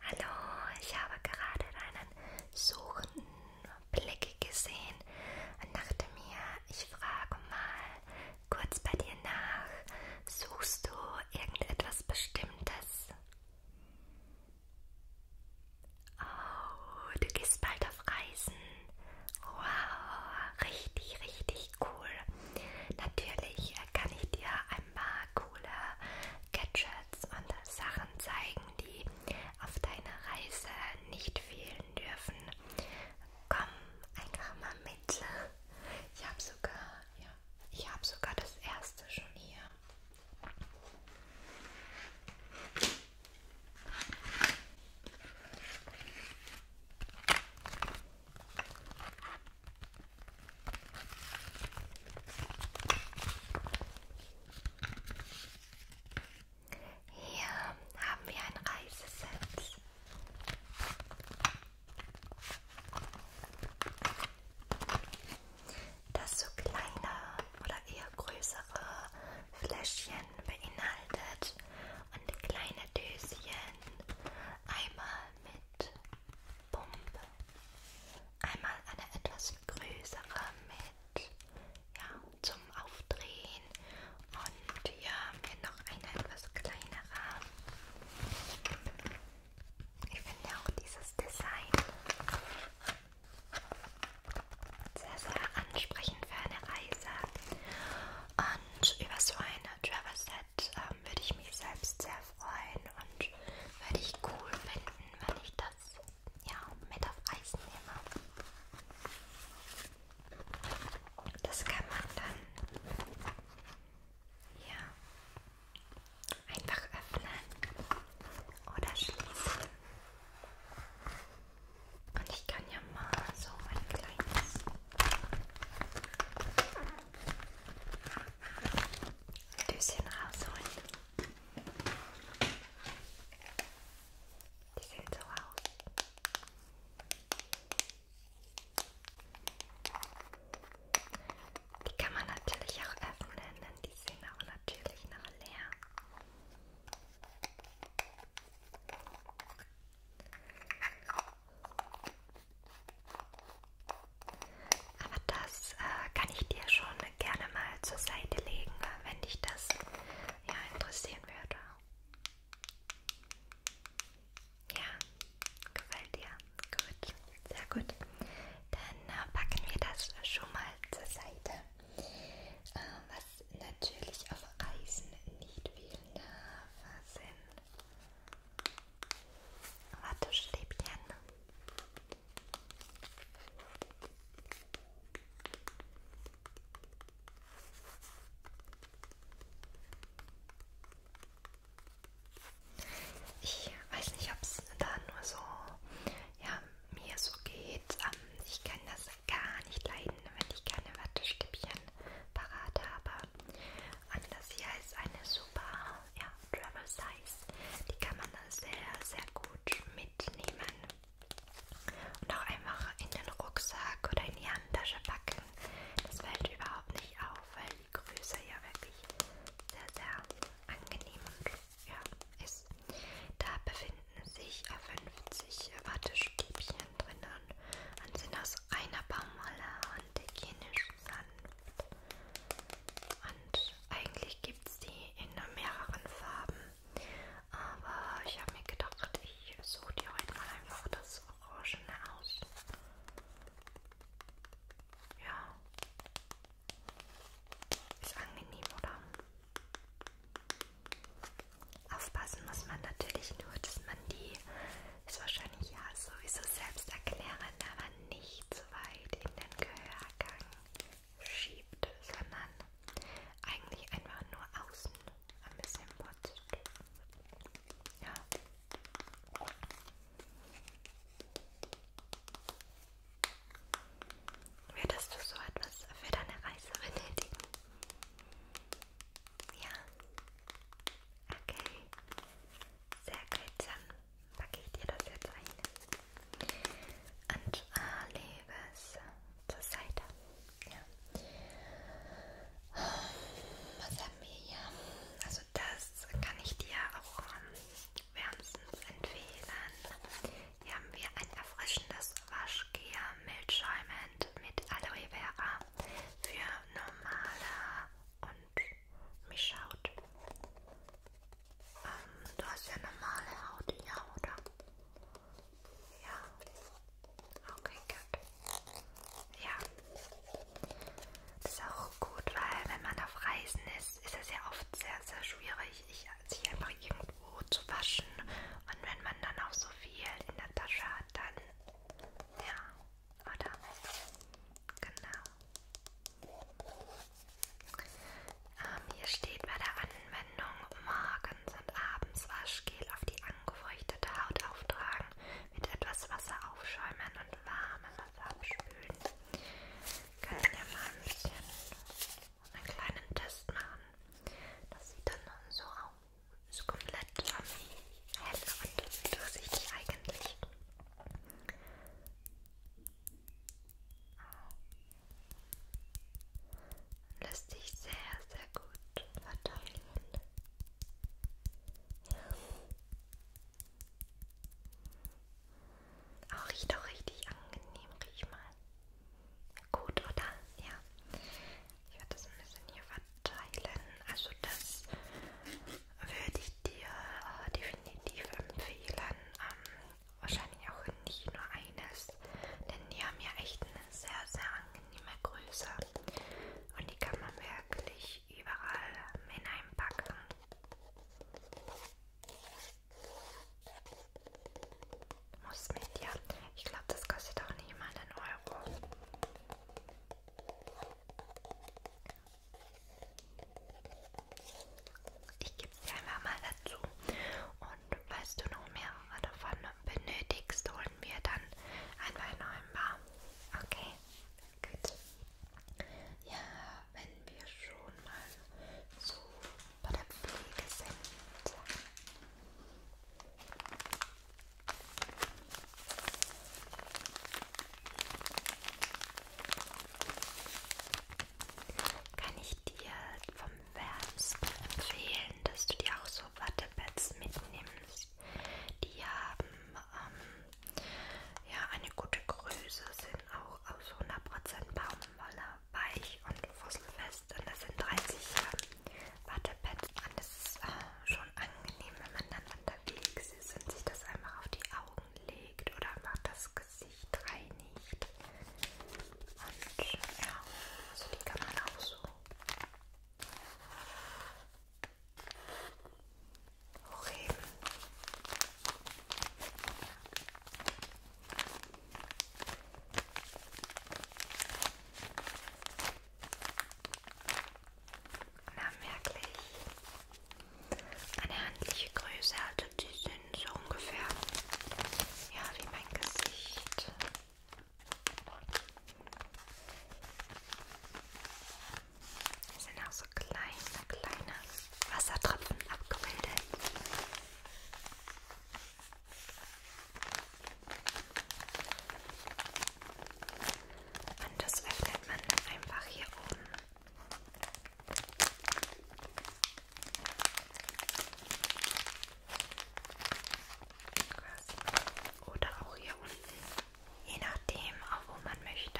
Hallo, ich habe gerade einen suchenden Blick gesehen und dachte mir, ich frage mal kurz bei dir nach, suchst du irgendetwas Bestimmtes? Oh, du gehst bald auf Reisen. Wow, richtig, richtig cool. Natürlich kann ich dir scheinbar coole Gadgets und Sachen zeigen, die auf deiner Reise nicht fehlen dürfen. Komm einfach mal mit. Ich habe sogar, ja, ich habe sogar das erste schon hier. Hier haben wir ein Reiseset. Das so kleine oder eher größere Fläschchen beinhaltet und kleine Döschen, einmal mit Pumpe. Einmal eine etwas größere mit ja, zum Aufdrehen und hier haben wir noch eine etwas kleinere. Ich finde auch dieses Design sehr, sehr ansprechend für eine Reise. Und über so eine Travel Set ähm, würde ich mich selbst sehr freuen und würde ich cool finden, wenn ich das ja, mit auf Eis nehme. Das kann man dann ja, einfach öffnen oder schließen. Und ich kann ja mal so ein kleines Döschen rausholen. Die sehen so aus. Die kann man natürlich auch öffnen, denn die sind auch natürlich noch leer. Aber das äh, kann ich dir schon gerne mal zur Seite legen, wenn dich das ja, interessieren würde. Ja, gefällt dir. Gut, sehr gut. Dann äh, packen wir das schon mal zur Seite. Äh, was natürlich auf Reisen nicht fehlen darf, sind Wattestäbchen. Ich weiß nicht, ob es da nur so ja, mir so geht. Ähm, ich kann das gar nicht leiden, wenn ich keine Wattestäbchen parat habe. Und das hier ist eine super ja, Travel Size. Die kann man sehr, sehr gut mitnehmen. Und auch einfach in den Rucksack oder in die Handtasche packen. Das fällt überhaupt nicht auf, weil die Größe ja wirklich sehr, sehr angenehm und, ja, ist. Da befinden sich 50 Wattestäbchen drin. Fasern und sind aus reiner Baumwolle und hygienisch sanft. Und eigentlich gibt es die in mehreren Farben. Aber ich habe mir gedacht, ich suche dir heute mal einfach das Orangene aus. Ja. Ist angenehm, oder? Aufpassen muss man natürlich nur, dass man die ist wahrscheinlich ja sowieso selbsterklärend, aber nicht zu so weit in den Gehörgang schiebt, sondern eigentlich einfach nur außen ein bisschen putzt. Ja. Würdest du so etwas für deine Reise benötigen? Ja. Okay. Sehr gut, dann packe ich dir das jetzt ein. Und äh, ah, lebe es zur Seite. Ja. Was haben wir hier? Also das kann ich dir auch ähm, wärmstens empfehlen. Hier haben wir ein erfrischendes Waschgel milchschäumend mit Aloe Vera für normale und mich schaut. Ähm, du hast ja normale Haut, ja, oder? Ja. Okay, gut. Ja. Das ist auch gut, weil wenn man auf Reisen ist, ist es ja oft sehr, sehr schwierig, sich einfach irgendwo zu waschen. Und wenn man dann auch so viel in der Tasche hat, dann ja, oder? Genau. Ähm, hier steht bei der Anwendung morgens und abends Waschgel auf die angefeuchtete Haut auftragen, mit etwas Wasser aufschäumen und warmem Wasser abspülen. Können wir mal ein bisschen einen kleinen Test machen. Das sieht dann so aus so komplett lang, hell und durchsichtig eigentlich. Lässt sich sehr, sehr gut verteilen. Auch oh, riecht auch richtig angenehm, riech mal. Gut, oder? Ja. Ich werde das ein bisschen hier verteilen. Also das würde ich dir äh, definitiv empfehlen. Ähm, wahrscheinlich auch nicht nur eines, denn die haben ja echt eine sehr, sehr angenehme Größe. Und die kann man wirklich überall hineinpacken. Muss mit, ja. Ich glaube, das kostet auch nicht mal einen Euro. Ich gebe sie einfach mal dazu. Und falls du noch mehrere davon benötigst, holen wir dann einfach noch ein paar. Okay, gut. Ja, wenn wir schon mal so bei der Pflege sind. Kann ich dir vom Wärmsten empfehlen, dass du dir auch so Wattepads mitnimmst. Die haben ähm, ja eine gute Größe, sind auch aus 100% Baumwolle weich und fusselfest und das sind 30 Jahre Wattepad an. Das ist äh, schon angenehm, wenn man dann unterwegs ist und sich das einfach auf die Augen legt oder einfach das Gesicht reinigt. Und ja, also die kann man auch so hochheben. Na, merklich. Eine handliche Größe, also die sind so ungefähr, ja, wie mein Gesicht. Es sind auch so kleine, kleine Wassertropfen abgebildet. Und das öffnet man einfach hier oben. Oder auch hier unten. Je nachdem, auch wo man möchte.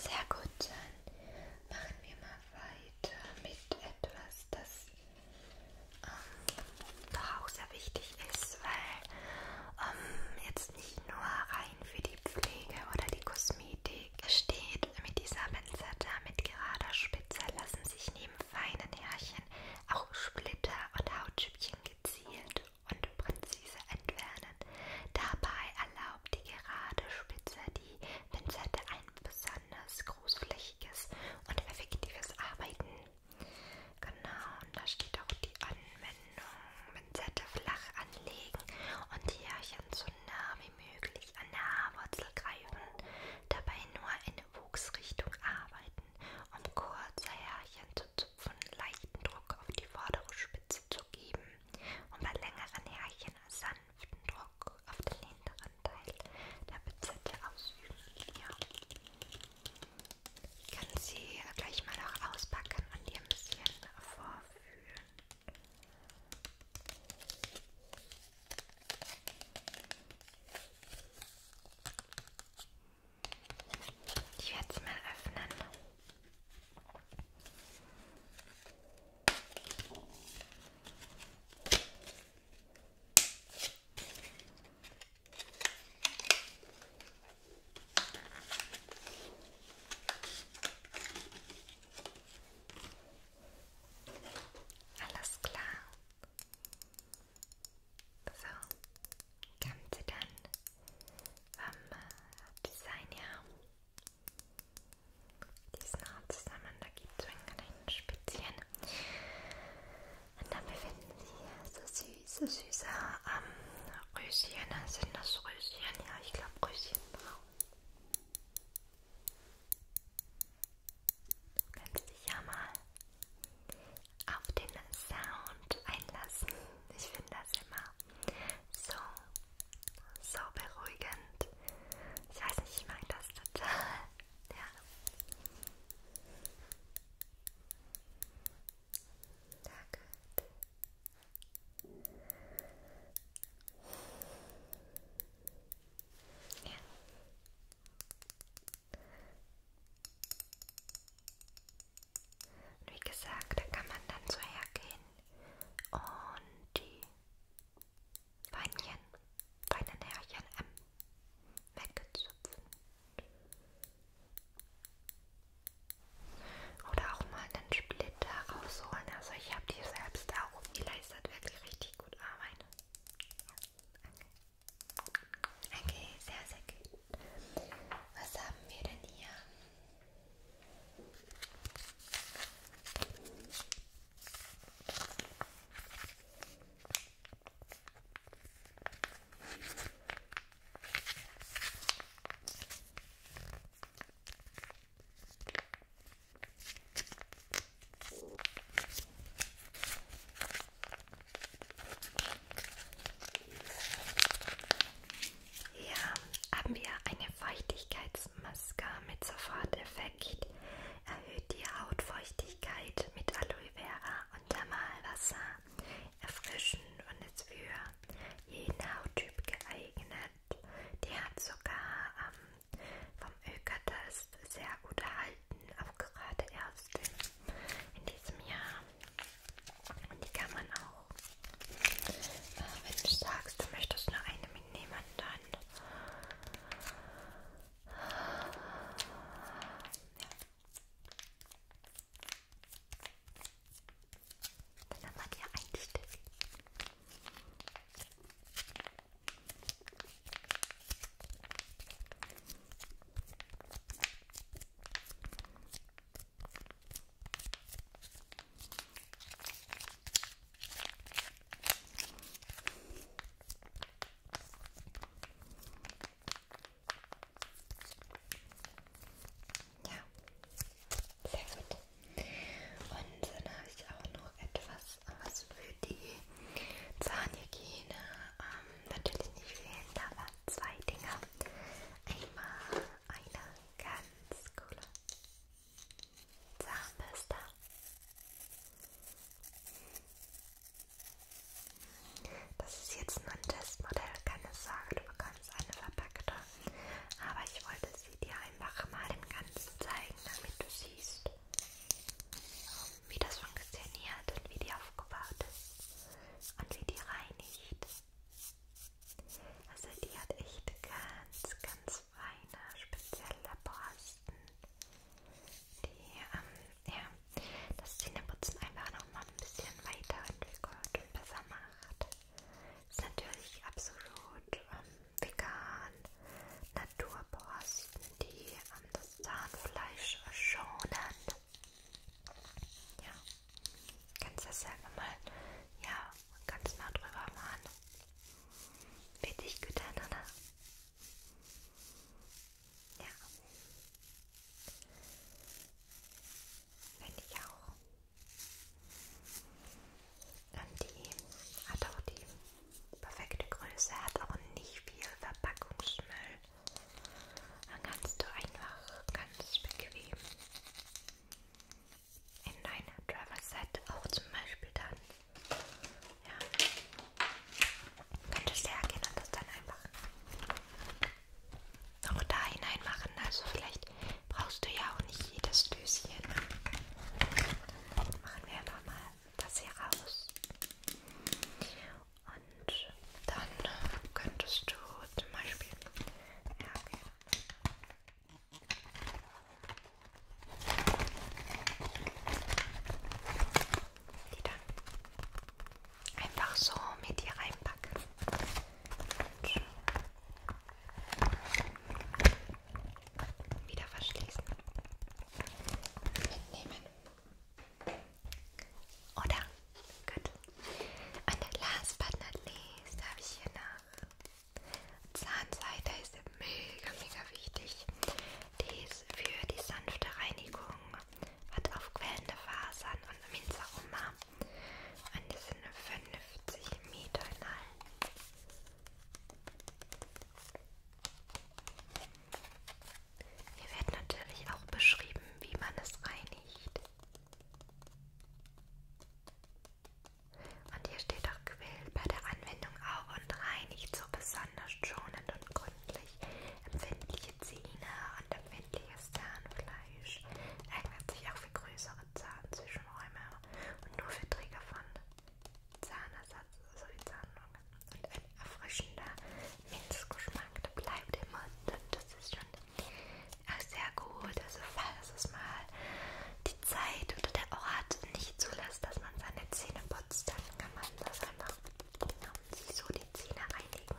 Sehr gut, dann machen wir mal weiter mit etwas, das ähm, doch auch sehr wichtig ist, weil ähm, jetzt nicht nur rein für die Pflege oder die Kosmetik steht. Mit dieser Pinzette mit gerader Spitze lassen sich neben feinen Härchen auch Splitter und Hautschüppchen gezielt und präzise entfernen. Dabei erlaubt die gerade Spitze die Pinzette ein besonders großflächiges und effektives Arbeiten. Genau, und da steht auch die Anwendung. Pinzette flach anlegen und Härchen so nah wie möglich an der Haarwurzel greifen. Dabei nur in Wuchsrichtung arbeiten, um kurze Härchen zu zupfen, leichten Druck auf die vordere Spitze zu geben und bei längeren Härchen sanften Druck auf den hinteren Teil der Pinzette ausüben. Ja. Ich kann sie gleich mal noch auspacken und ihr ein bisschen vorfühlen. Ich werde es mal öffnen. Alles klar. So, Ganze dann vom äh, Design her. Diesen Haar zusammen, da gibt es einen kleinen Spezien. Und dann befinden sich hier so süße, süße ähm, Röschen. Sind das Röschen? Ja, ich glaube Röschenbraun. Du kannst dich ja mal auf den Sound einlassen. Ich finde das immer so, so beruhigend. Ich weiß nicht, ich mag das total der Haare. Da gut. Ja. Und wie gesagt, da kann man dann so hergehen und die Weinchen, Weinenherrchen M. Ähm, Weggezupfen. Oder auch mal einen Splitter rausholen. Also ich habe die selbst auch. Die leistet wirklich richtig gut Arbeit. Okay, okay sehr, sehr gut. Was haben wir denn hier? Hier haben wir eine Feuchtigkeitsmaske mit Soforteffekt erhöht die Hautfeuchtigkeit mit Aloe Vera und Thermalwasser, erfrischend und ist für jeden Hauttyp geeignet. Die hat sogar ähm, vom Ökertest sehr gut erhalten, auch gerade erst in, in diesem Jahr. Und die kann man auch, äh, wenn du sagst, du möchtest nur eine mitnehmen, dann ja. Dann haben wir dir einen Stift. Ja, sehr gut. Und dann habe ich auch noch etwas, was für die Zahnhygiene ähm, natürlich nicht fehlen darf. Zwei Dinger. Einmal eine ganz coole Zahnpasta. Das ist jetzt nur ein Testmodell, keine Sorge, du bekommst eine verpackte. Aber ich wollte sie dir einfach mal im Ganzen zeigen, damit du siehst, wie das funktioniert und wie die aufgebaut ist und wie die reinigt. Also die hat echt ganz, ganz eine spezielle Borsten, die, ähm, ja, das Zähneputzen einfach nochmal ein bisschen weiterentwickelt und besser macht. Ist natürlich absolut ähm, vegan, Naturborsten, die ähm, das Zahnfleisch schonen. Ja, kannst das selber mal ja, und ganz nah drüber machen. Richtig gut, Anna. Ne, ne? Ja. Finde ich auch. Und die hat auch die perfekte Größe, hat auch nicht viel Verpackungsmüll. Dann kannst du einfach ganz bequem in dein Driver-Set auch zum Beispiel dann. Ja. Könntest du ja gehen und das dann einfach noch da hinein machen. Also vielleicht brauchst du ja auch nicht jedes Döschen. Dann machen wir einfach mal das hier raus. Und dann könntest du zum Beispiel. Ja, okay. Die dann einfach so mit dir reinpacken. Und wieder verschließen. Mitnehmen. Oder? Gut. Und last but not least habe ich hier noch Zahnseide ist mega, mega wichtig. Die ist für die sanfte Reinigung, hat aufquellende Fasern und Minzaroma. Und die sind 50 Meter lang. Hier wird natürlich auch beschrieben, wie man es reinigt. Und hier steht auch, quält bei der Anwendung auch und reinigt so besonders schonend und gründlich empfindliche Zähne und empfindliches Zahnfleisch. Eignet sich auch für größere Zahnzwischenräume und nur für Träger von Zahnersatz sowie also Zahnungen. Und ein erfrischender Minzgeschmack, der bleibt im Mund. Das ist schon Ach, sehr gut. Also falls es mal die Zeit oder der Ort nicht zulässt, dass man seine Zähne putzt, dann kann man das einfach ja, sich so die Zähne reinigen.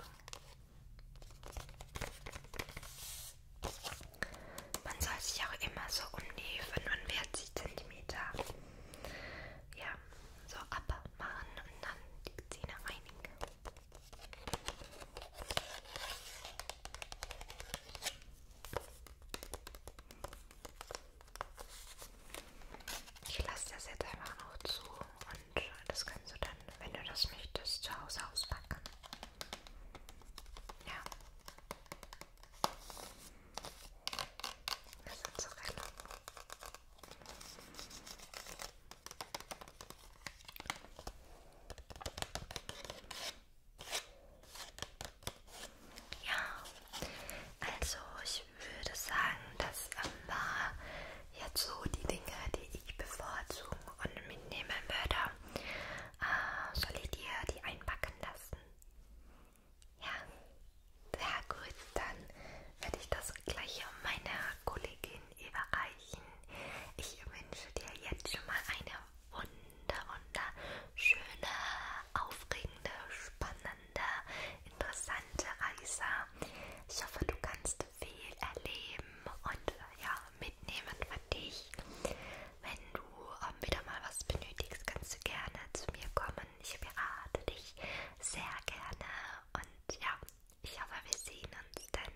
Man soll sich auch immer so um die 45 cm ja, so abmachen und dann die Zähne reinigen. Ich lasse das jetzt einfach noch zu und das kannst du dann, wenn du das möchtest, zu Hause auspacken. Ja. Das sind so relativ. Ja, also ich würde sagen, das war jetzt so die Dinge, die ich bevorzugen und mitnehmen würde. Äh, soll ich dir die einpacken lassen? Ja, sehr gut. Dann werde ich das gleich meiner Kollegin überreichen. Ich wünsche dir jetzt schon mal eine wunder, wunderschöne, aufregende, spannende, interessante Reise. Ich hoffe, du kannst viel erleben und ja, mitnehmen für dich. Wenn du ähm, wieder mal was benötigst, kannst du gerne zu mir kommen. Ich berate dich sehr gerne und ja, ich hoffe, wir sehen uns dann.